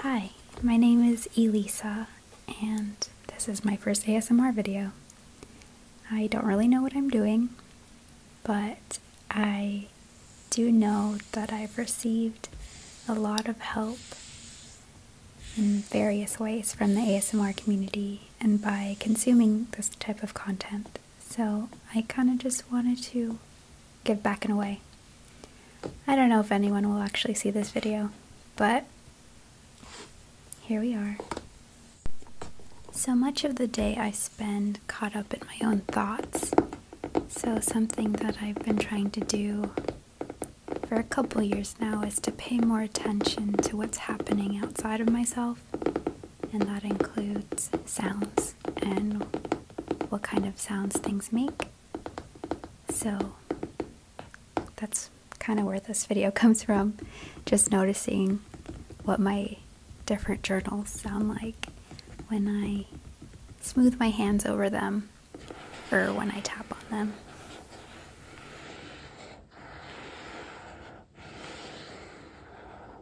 Hi, my name is Elisa, and this is my first ASMR video. I don't really know what I'm doing, but I do know that I've received a lot of help in various ways from the ASMR community and by consuming this type of content. So I kind of just wanted to give back in a way. I don't know if anyone will actually see this video, but here we are. So much of the day I spend caught up in my own thoughts. So, something that I've been trying to do for a couple years now is to pay more attention to what's happening outside of myself, and that includes sounds and what kind of sounds things make. So that's kind of where this video comes from, just noticing what my different journals sound like when I smooth my hands over them or when I tap on them.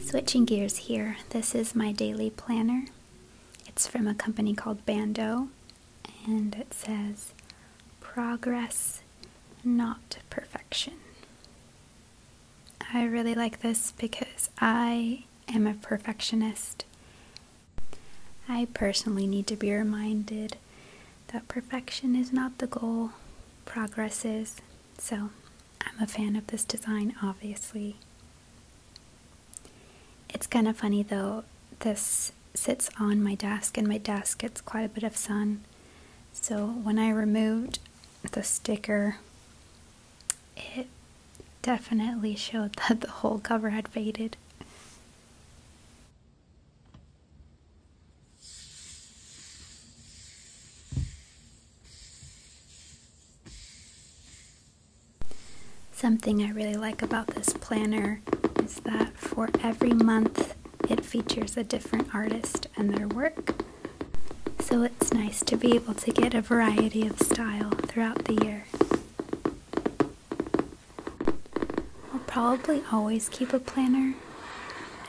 Switching gears here, this is my daily planner. It's from a company called Bando, and it says progress, not perfection. I really like this because I am a perfectionist I personally need to be reminded that perfection is not the goal, progress is. So I'm a fan of this design, obviously. It's kind of funny though, this sits on my desk and my desk gets quite a bit of sun. So when I removed the sticker, it definitely showed that the whole cover had faded. Something I really like about this planner is that for every month it features a different artist and their work. So it's nice to be able to get a variety of style throughout the year. I'll probably always keep a planner.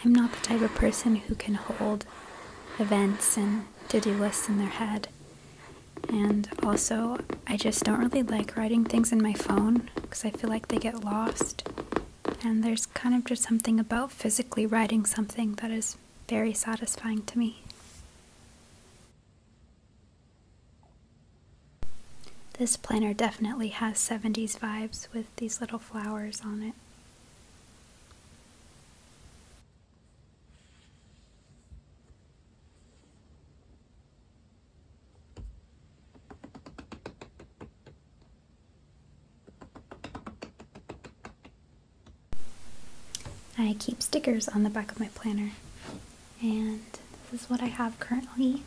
I'm not the type of person who can hold events and to do lists in their head. And also, I just don't really like writing things in my phone because I feel like they get lost. And there's kind of just something about physically writing something that is very satisfying to me. This planner definitely has 70s vibes with these little flowers on it. I keep stickers on the back of my planner and this is what I have currently.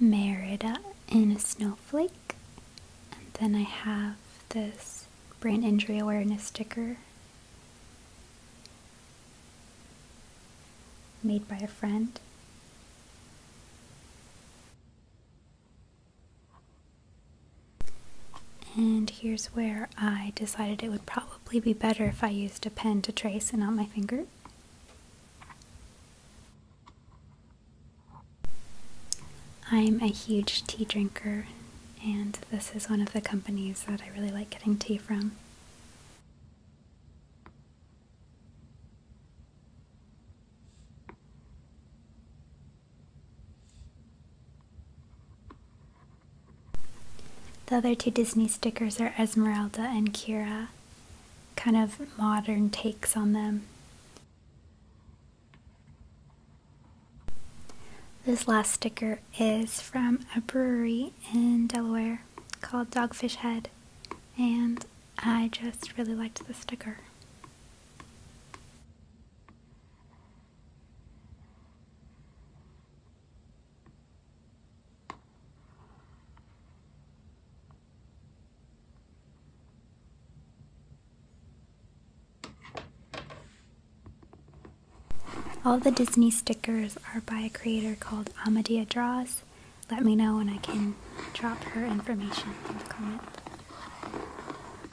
Merida in a snowflake. And then I have this brain injury awareness sticker made by a friend. And here's where I decided it would probably be better if I used a pen to trace and not my finger. I'm a huge tea drinker, and this is one of the companies that I really like getting tea from. The other two Disney stickers are Esmeralda and Kira, kind of modern takes on them. This last sticker is from a brewery in Delaware called Dogfish Head, and I just really liked the sticker. All the Disney stickers are by a creator called Amadia Draws. Let me know when I can drop her information in the comment.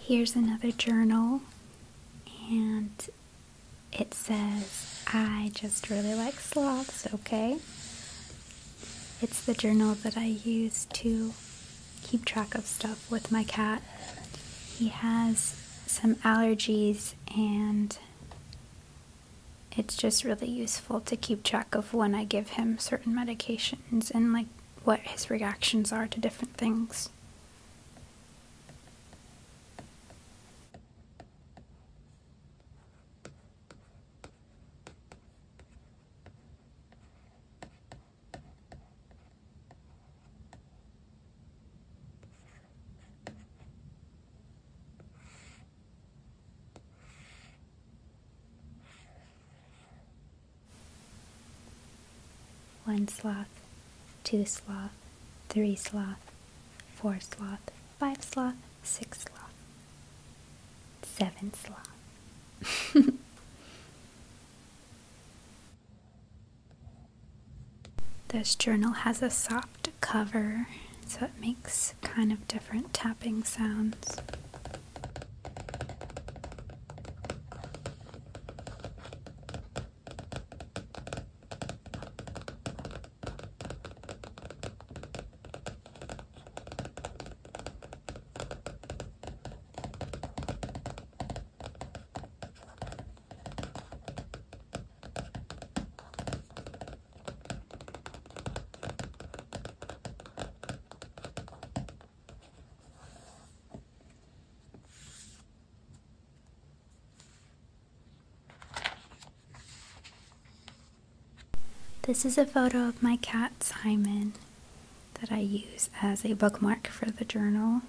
Here's another journal, and it says, I just really like sloths, okay? It's the journal that I use to keep track of stuff with my cat. He has some allergies, and it's just really useful to keep track of when I give him certain medications and like what his reactions are to different things. One sloth, two sloth, three sloth, four sloth, five sloth, six sloth, seven sloth. This journal has a soft cover, so it makes kind of different tapping sounds. This is a photo of my cat Simon that I use as a bookmark for the journal.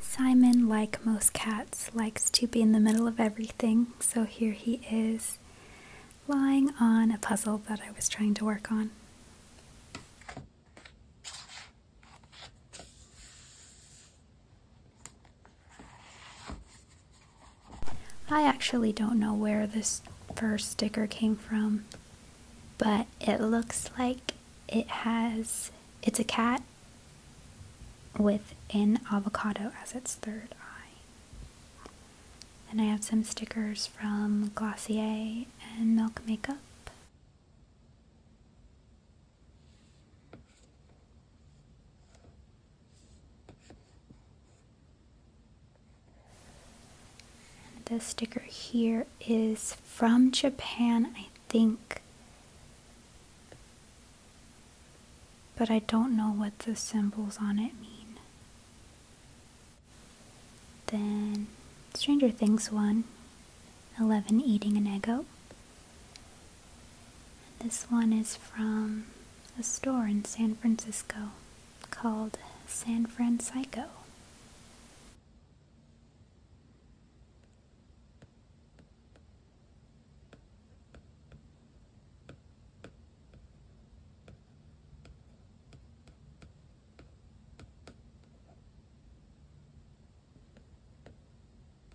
Simon, like most cats, likes to be in the middle of everything, so here he is lying on a puzzle that I was trying to work on. I actually don't know where this first sticker came from, but it looks like it has it's a cat with an avocado as its third eye. And I have some stickers from Glossier and Milk Makeup. This sticker here is from Japan, I think. But I don't know what the symbols on it mean. Then Stranger Things one, Eleven eating an Eggo this one is from a store in San Francisco called San Francisco.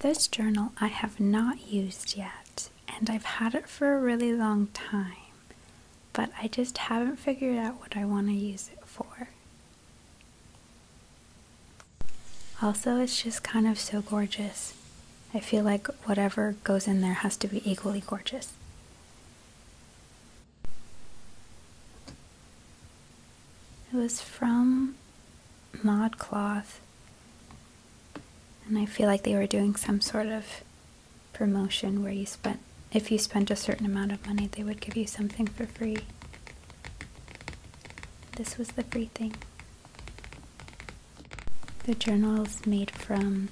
This journal I have not used yet, and I've had it for a really long time, but I just haven't figured out what I want to use it for. Also, it's just kind of so gorgeous. I feel like whatever goes in there has to be equally gorgeous. It was from ModCloth, and I feel like they were doing some sort of promotion where you spent, if you spent a certain amount of money, they would give you something for free. This was the free thing. The journal is made from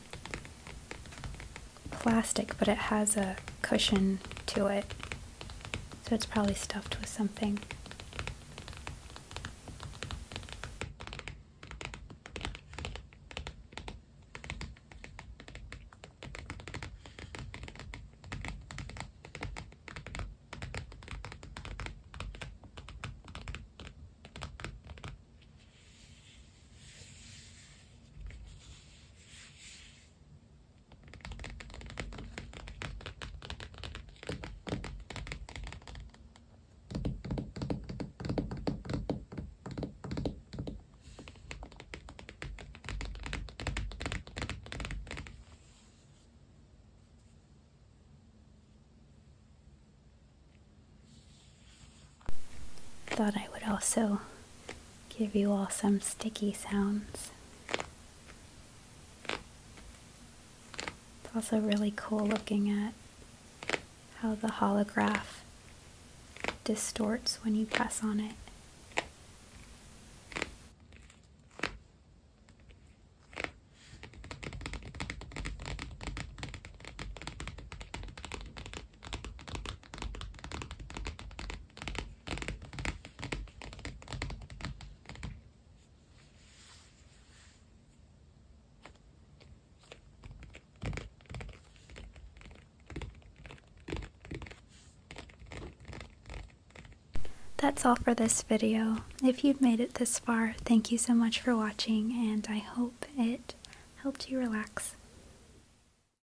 plastic, but it has a cushion to it so it's probably stuffed with something. Thought I would also give you all some sticky sounds. It's also really cool looking at how the holograph distorts when you press on it. That's all for this video. If you've made it this far, thank you so much for watching and I hope it helped you relax.